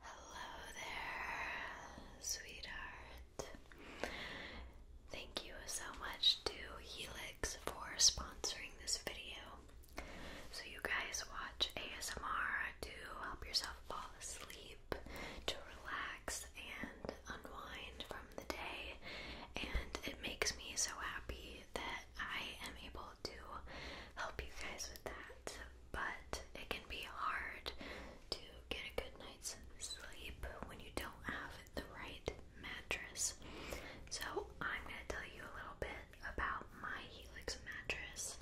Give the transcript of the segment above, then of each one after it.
Hello there, sweetheart. Thank you so much to Helix for sponsoring this video. So, you guys watch ASMR to help yourself fall asleep, to relax and unwind from the day, and it makes me so happy that I am able to help you guys with that but it can be hard to get a good night's sleep when you don't have the right mattress. So, I'm going to tell you a little bit about my Helix mattress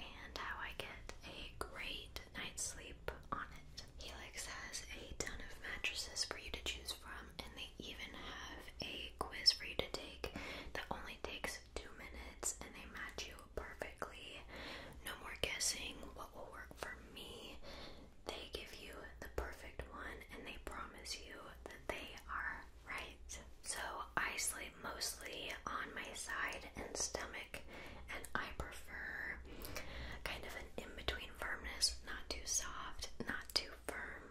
and how I get a great night's sleep on it. Helix has a ton of mattresses for you to choose from, and they even have a quiz for you to take that only takes two minutes and they match you perfectly. No more guessing what will work for me. They give you the perfect one and they promise you that they are right. So I sleep mostly on my side and stomach, and I prefer kind of an in between firmness, not too soft, not too firm.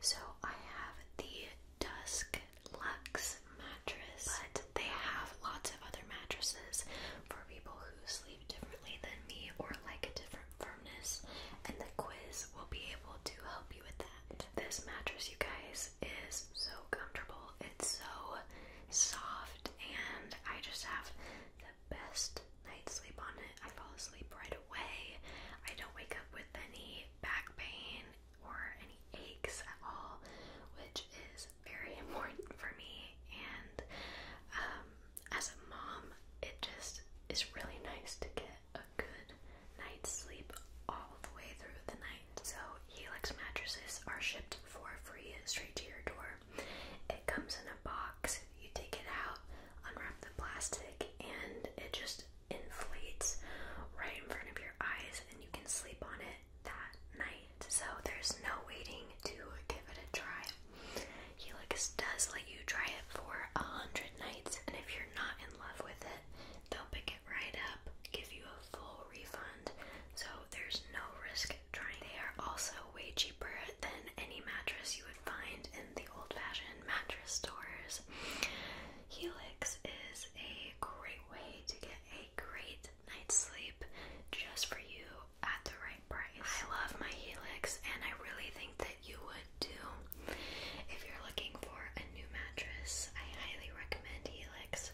So I have the Dusk Luxe mattress, but they have lots of other mattresses for people who sleep differently than me or like a different firmness, and the quiz will be able to help you with that. This mattress, you guys, is so comfortable, it's so soft, and I just have the best night's sleep on it. I fall asleep right away, I don't wake up with any back pain or any aches at all, which is very important for me. And um, as a mom, it just is really nice to get a good night's sleep all the way through the night. So, Helix mattresses are shipped for free straight to your door. It comes in a box, you take it out, unwrap the plastic, and it just inflates right in front of your eyes and you can sleep on it that night. So there's no waiting to give it a try. Helix does let you try it for a hundred nights, and if you're not in love with it, they'll pick it right up, give you a full refund. So there's no risk trying. They are also way cheaper than any mattress you would find in the old-fashioned mattress stores. Helix is a great way to get a great night's sleep just for you at the right price. I love my Helix and I really think that you would too. If you're looking for a new mattress, I highly recommend Helix.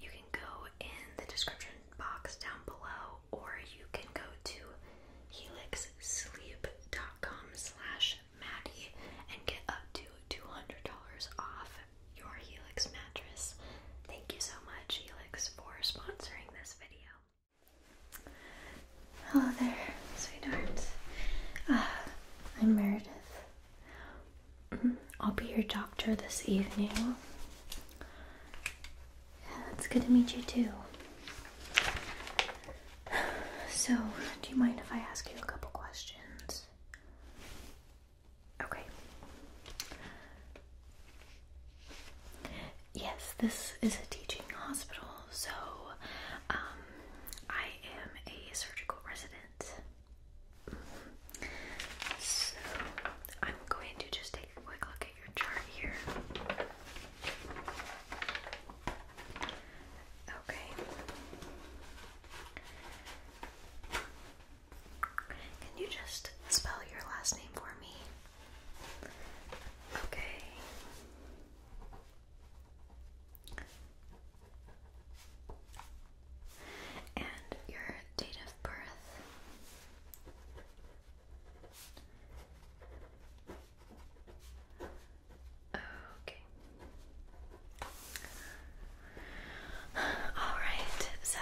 You can go in the description box down below or you can go to helixsleep.com slash Maddie and get up to $200 off your Helix mattress. Thank you so much, Helix, for sponsoring this video. Hello there, sweetheart. Uh, I'm Meredith. Mm-hmm. I'll be your doctor this evening. Yeah, it's good to meet you too. So, do you mind if I ask you a couple questions? Okay. Yes, this is a teaching hospital, so um, I am a surgical resident. So I'm going to just take a quick look at your chart here. Okay. Can you just spell your last name for me? Okay. And your date of birth. Oh, okay. All right. So,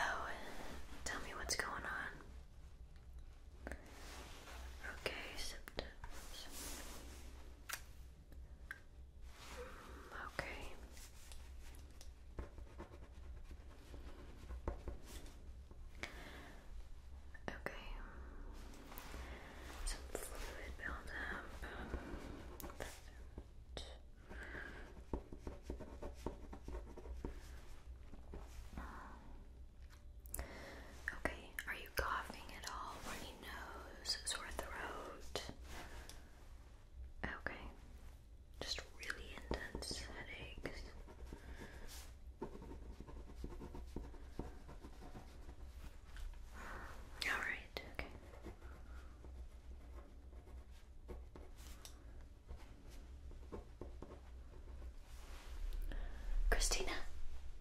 tell me what's going on. Okay, Okay. Okay. Some fluid buildup. Okay, are you coughing at all? Runny nose, sore throat? Okay, just really intense headaches. All right, okay. Christina,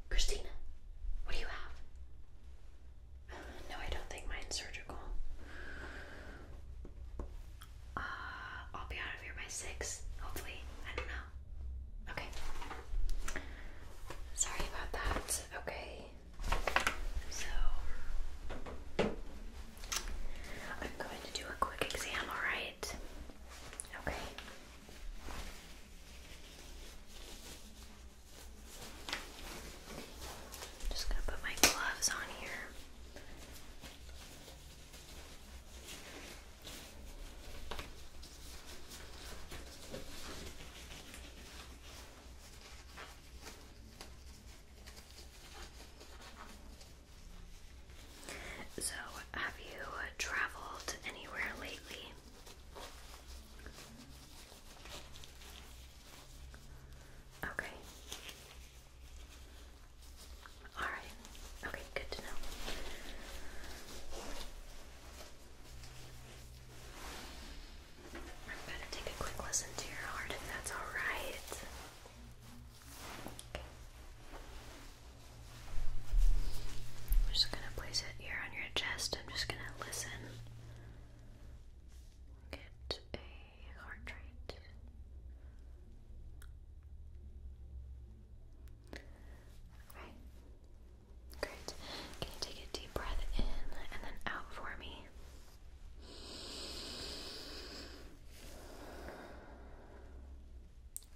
Christina, what do you have? No, I don't think mine's surgical. Uh, I'll be out of here by six, hopefully. I don't know. Okay. Sorry about that. Okay. So I'm going to do a quick exam, alright? Okay. just gonna put my gloves on here. So, have you traveled anywhere lately? Okay. All right. Okay, good to know. I'm gonna take a quick listen to your heart if that's alright. I'm just gonna place it here on your chest. I'm just gonna listen. Get a heart rate. Okay. Great. Can you take a deep breath in and then out for me?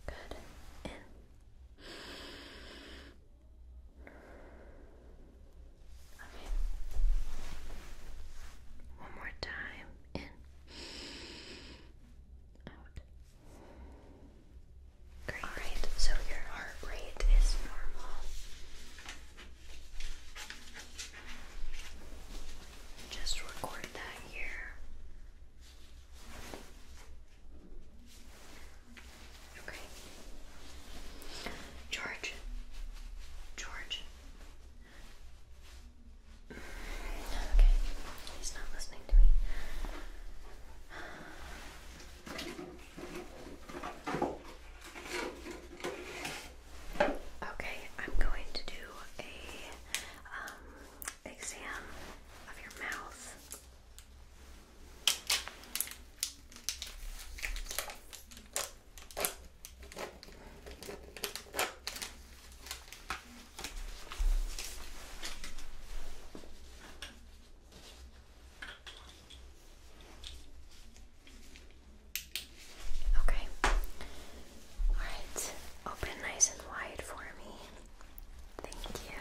Good. In. Okay. One more time. In. Out. Great. so your heart rate is normal. Just record that here. Okay. George. George. Okay. He's not listening to me. Okay, I'm going to do a um, exam of your mouth. Okay. Alright. Open nice and wide for me. Thank you.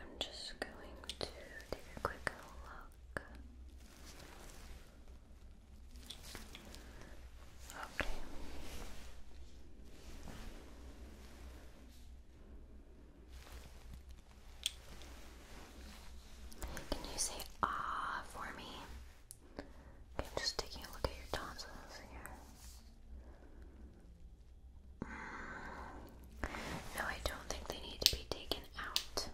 I'm just going to take a quick look. Okay. Can you say ah for me? I'm just taking a look at your tonsils here. Mm. No, I don't think they need to be taken out.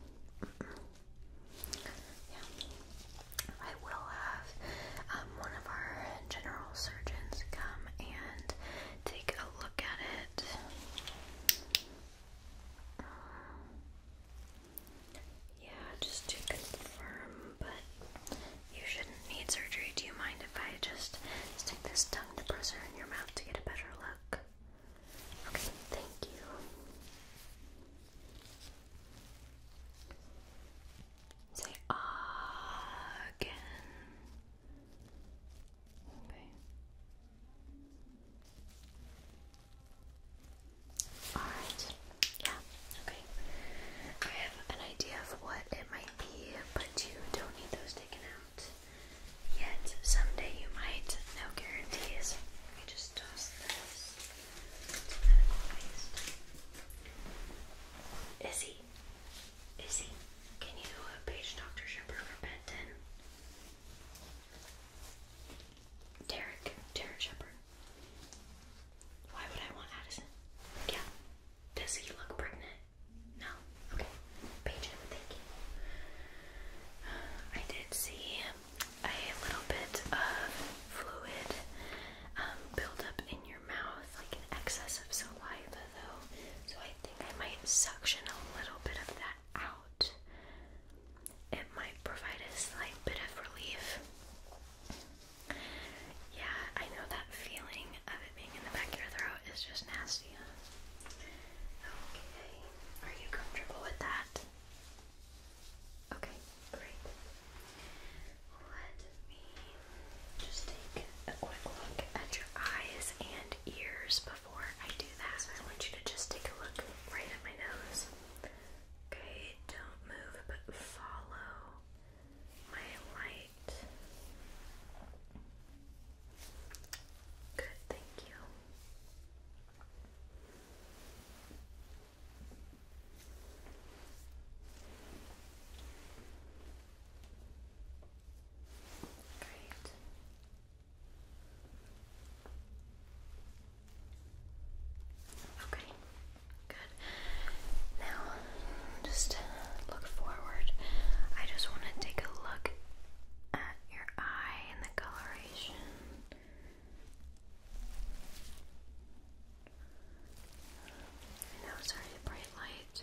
Yeah. I will have um, one of our general surgeons come and take a look at it yeah, just to confirm, but you shouldn't need surgery. Do you mind if I just stick this tongue depressor in your mouth to get a better look? Okay, thank you. Say ah, again. Okay. Alright. Yeah, okay. I have an idea of what it might be, but you don't need those taken out yet. Someday you might. No guarantees. You just toss this to medical Izzy, can you uh, page Dr. Shepard for Benton? Derek, Derek Shepard. Why would I want Addison? Yeah. Does he look pregnant? No. Okay. Page him, thank you. I did see a little bit of fluid um, buildup in your mouth, like an excess of saliva, though. So I think I might suction a little bit of that out. It might provide a slight bit of relief. Yeah, I know that feeling of it being in the back of your throat is just nasty. Okay, are you comfortable with that? Okay, great. Let me just take a quick look at your eyes and ears before I do that, I want you to just take a look right at my nose. Okay, don't move, but follow my light. Good, thank you. Great. Okay, good. Now, just look forward. I just want to take a look at your eye and the coloration. I know bright light.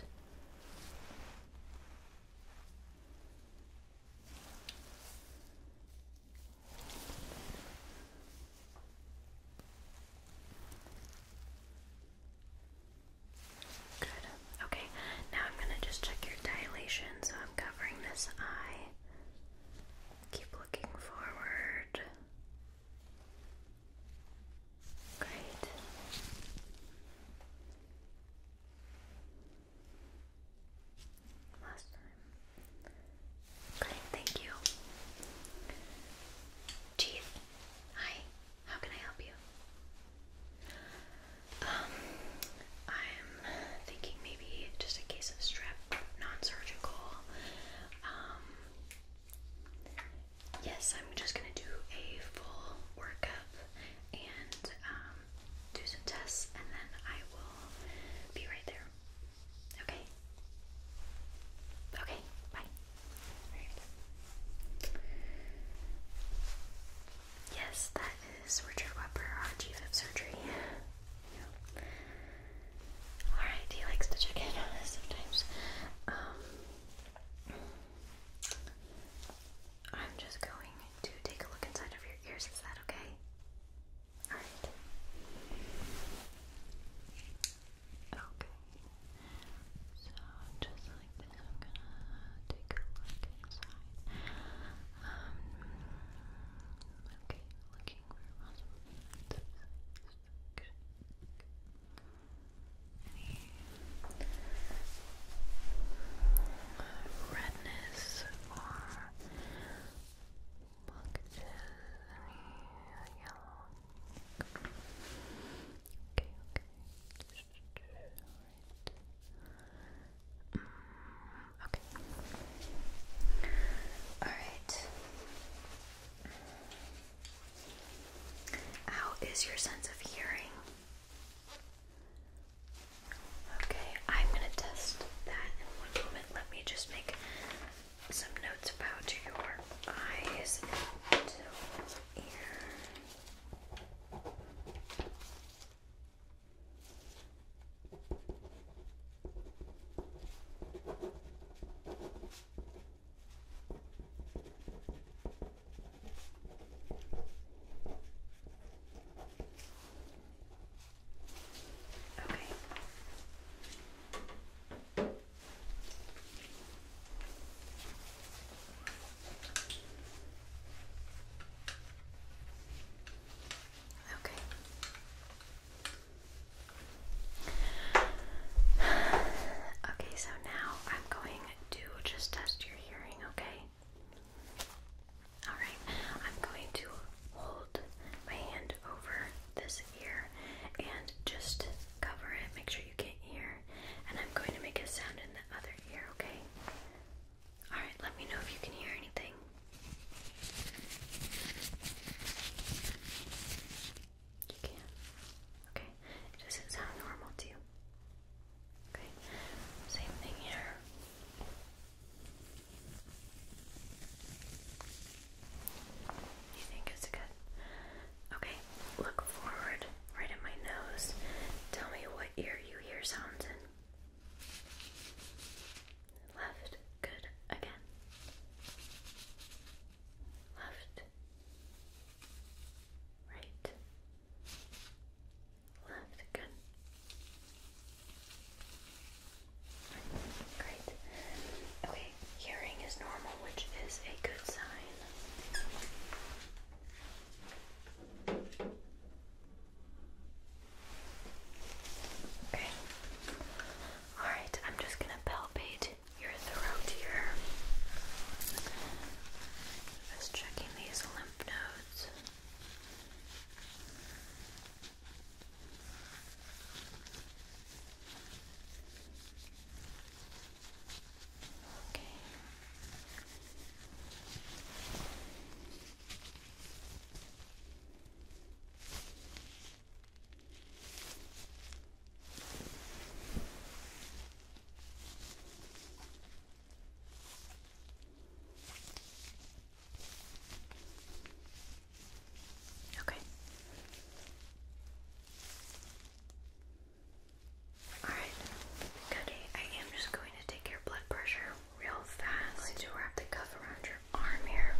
Good. Okay, now I'm going to just check your dilation. So I'm covering this eye. Keep looking forward. Great. Last time. thank you. Teeth. Hi. How can I help you? Um, I'm thinking maybe just a case of strep, non-surgical. Um, yes, I'm just gonna do a full workup and um, do some tests, and then I will be right there. Okay? Okay, bye. Yes, that is Richard Webber, our chief of surgery. Alright, he likes to check in sometimes. Um, I'm just going to take a look inside of your ears. Is that okay? Alright. Okay. So, just like this, I'm gonna take a look inside. Um, okay, looking for awesome. Good. Good any redness or blockages, any yellow. Okay, okay. Alright. Mm, okay. Mm. Alright. How is your sense of hearing? Okay, I'm gonna test that in one moment. Let me just make some notes about your eyes and ear. Okay. Okay. Okay, so now I'm going to just test your hearing, okay? Alright, I'm going to hold my hand over this ear and just cover it, make sure you can't hear, and I'm going to make a sound in the other ear, okay? Alright, let me know if you can hear anything. You can. Okay, doesn't sound normal to you. Okay, same thing here. You think it's good? Okay, look forward, right at my nose. Tell me what ear you hear sounds in. Left, good, again. Left, right, left, good. great. Okay, hearing is normal, which is a good sign. Okay. All right, I'm just going to palpate your throat here. Just checking these lymph nodes. Okay. Okay. Alright, Cody, I am just going to take your blood pressure real fast. I'm going wrap the cuff around your arm here.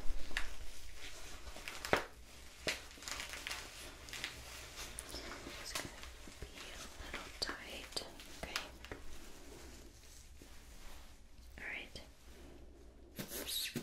It's going to be a little tight. Okay. All right. Great.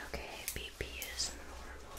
Okay, BP is normal.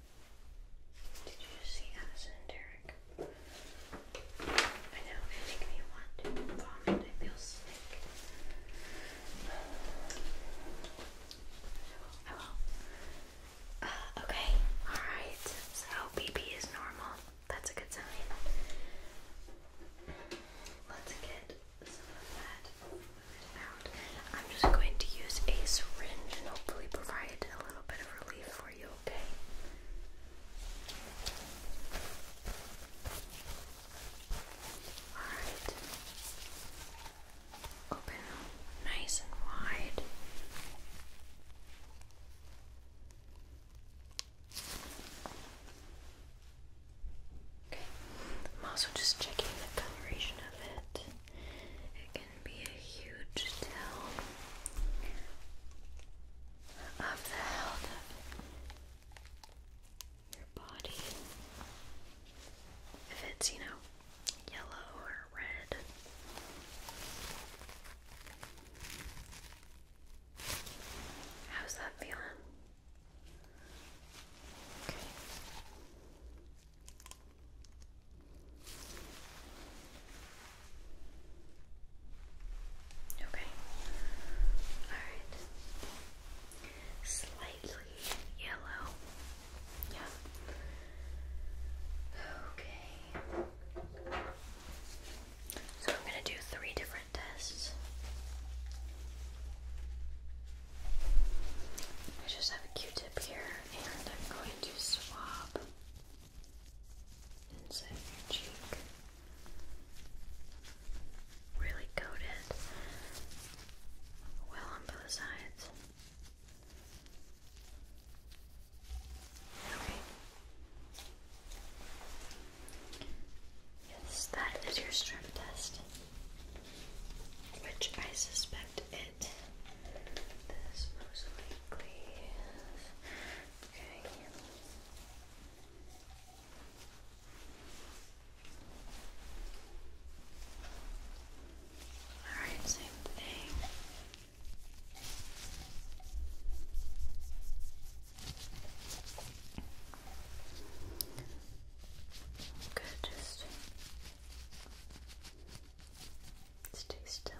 Did you see Addison and Derek? I know, it make me want to vomit. I feel sick. I will. Oh, uh, okay, alright. So, BP is normal. That's a good sign. Let's get some of that out. I'm just going to use a syringe and hopefully provide a little bit of relief for you, okay? Alright. Open nice and wide. Okay, I'm also just checking the coloration of It can be a huge tell of the health of your body. If it's, you know, yellow or red. How's that feeling? Okay. Okay. Alright. Slightly yellow. Yeah. Okay. So I'm going to do three different tests. I just have a Q-tip here, and I'm going to swab inside your cheek. Really coat well on both sides. Okay. Yes, that is your strip test, which I suspect it. This most likely is okay. Alright, same thing. Good, just Stay still.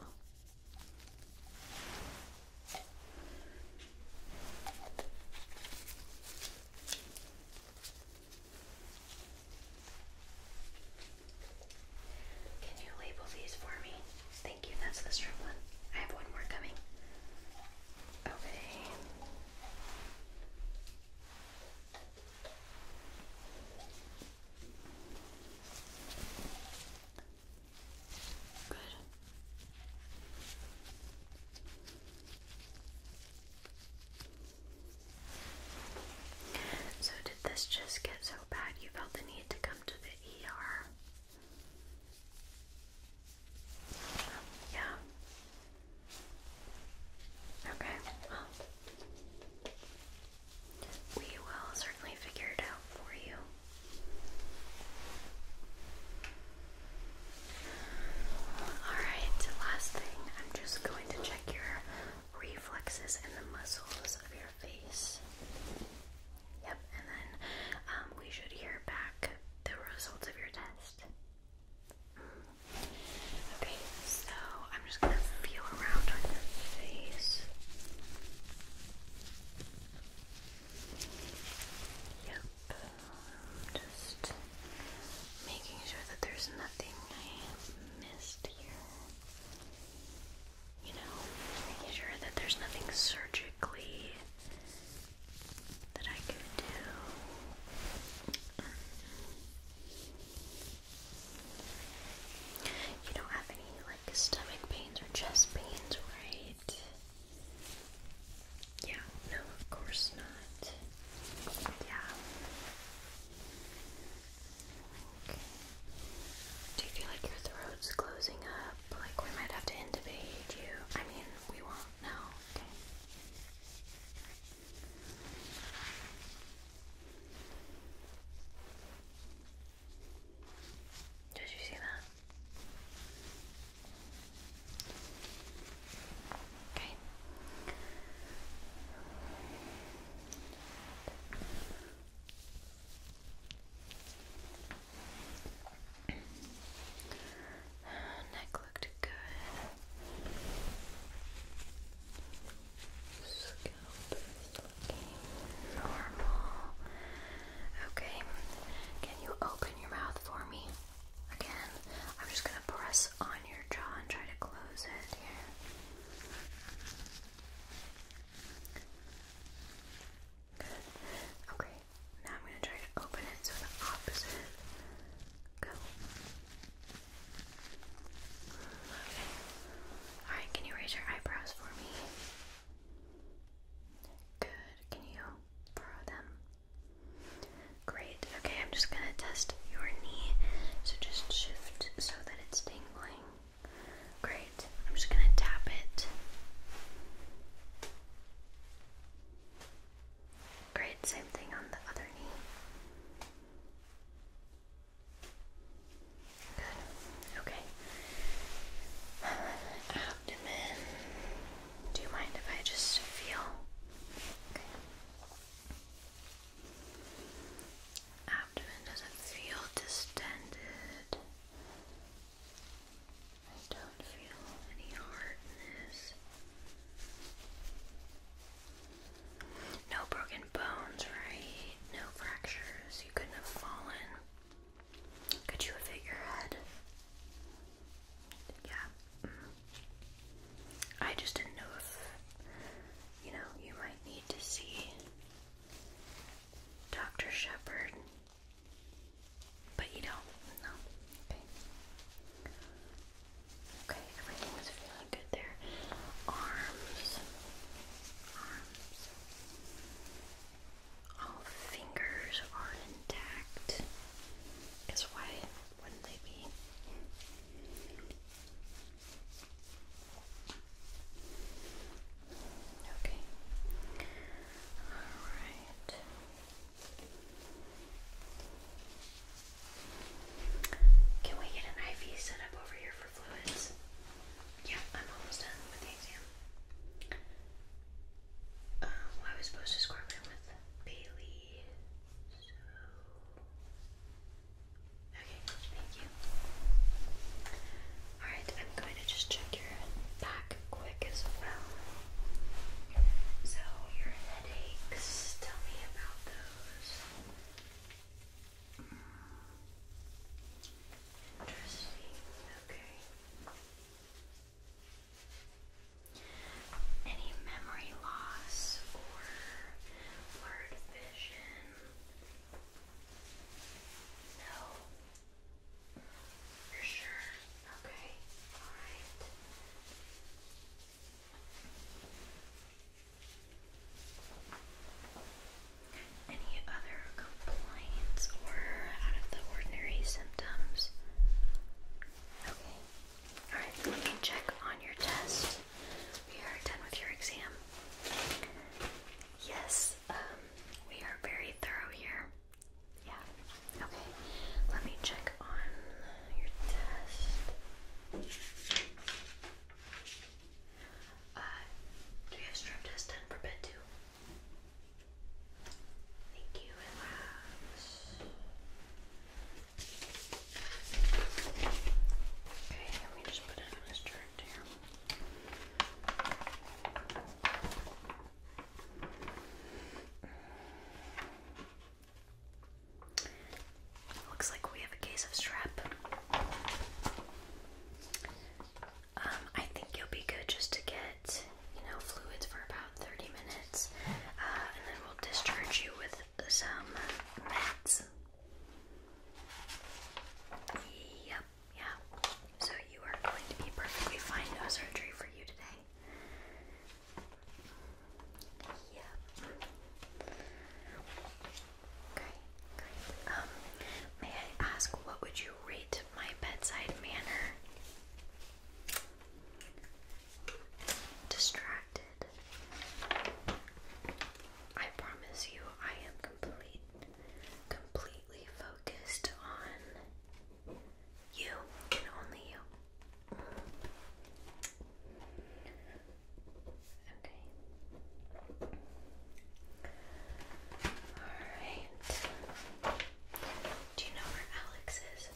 Can you label these for me? Thank you, that's the strip one. I have one more coming. Okay. So, did this just get so bad you felt the need to come to the ER? Yeah. Okay, well, we will certainly figure it out for you. Alright, last thing, I'm just going to check your reflexes and the muscles of your face. Yep, and then um, we should hear back the results of your test. Mm-hmm. Okay, so I'm just gonna feel around on your face. Yep. Just making sure that there's nothing I missed here. You know, making sure that there's nothing surgically that I could do. You don't have any like stomach pains or chest pains, right? Yeah, no, of course not. Yeah. Do you feel like your throat's closing up? Like we might have to intubate you? I mean, we won't know. Okay. Did you see that? Okay. Neck looked good scalp Okay, can you open your mouth for me? Again, I'm just gonna press on your jaw and try to close it here. Good. Okay, now I'm gonna try to open it so the opposite. Go. Alright, can you raise your eyebrows for me? Good. Can you borrow them? Great. Okay, I'm just gonna test your knee. So just shift so that it's tingling. Great. I'm just gonna tap it. Great, same thing on the other knee. Good. Okay. Abdomen. Do you mind if I just feel? Abdomen doesn't feel distended. I don't feel any hardness. No broken bones, right? No fractures. You couldn't have fallen. Could you have hit your head? Yeah. Mm-hmm. I just didn't know if, you know, you might need to see Dr. Shepard. But you don't? No. Okay, everything was feeling good there. Arms, arms, all fingers are intact. Guess why wouldn't they be? Okay. All right. Can we get an IV set up over here for fluids? Yeah, I'm almost done with the exam. Um, I was supposed to square with Bailey, so... Okay, thank you. Alright, I'm going to just check your back quick as well. So, your headaches, tell me about those. Interesting. Okay. Any memory loss or blurred vision? No. You're sure? Okay. Alright. Any other complaints or out of the ordinary symptoms? Okay. Alright, we can check on your test. We are done with your exam. Yes, um, we are very thorough here. Yeah. Okay. Let me check on your test. Uh, do you have strip test done for bed too? Thank you, relax. Okay, let me just put it this chart here. Looks like we have a case of strep. Um, I think you'll be good just to get, you know, fluids for about 30 minutes, uh, and then we'll discharge you with some meds. Yep, yeah. So you are going to be perfectly fine. No surgery for you today. Yeah. Um, may I ask what would you rate my bedside manner? Distracted. I promise you, I am complete, completely focused on you only you. Okay. Alright. Do you know where Alex is?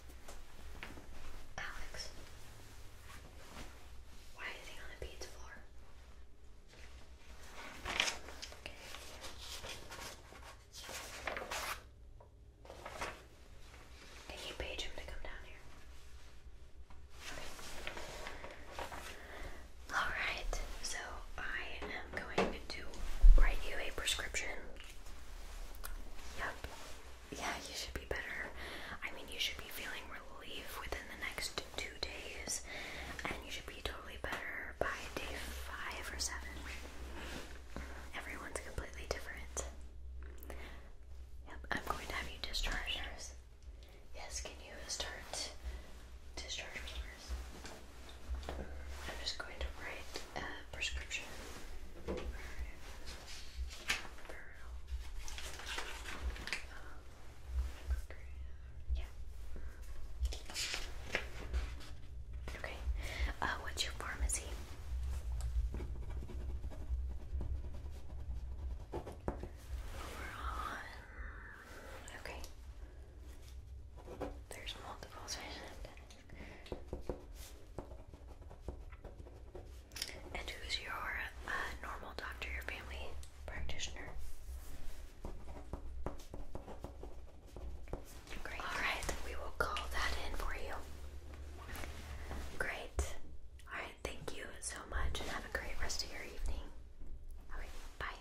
Alex? Why is he on the beads floor? Can you page him to come down here? Alright, so I am going to write you a prescription. Yep. Yeah, you should be better. I mean, you should be feeling relief within the next two days, and you should be totally better by day five or seven. Everyone's completely different. Yep, I'm going to have you discharge nurse. Yes, can you start discharge me I'm just going to write a prescription. Um, yeah. Okay. Uh, what's your pharmacy? Okay. There's multiples. And who's your uh, normal doctor, your family practitioner? Great. All right, we will call that in for you. Great. Alright, thank you so much and have a great rest of your evening. Alright, bye.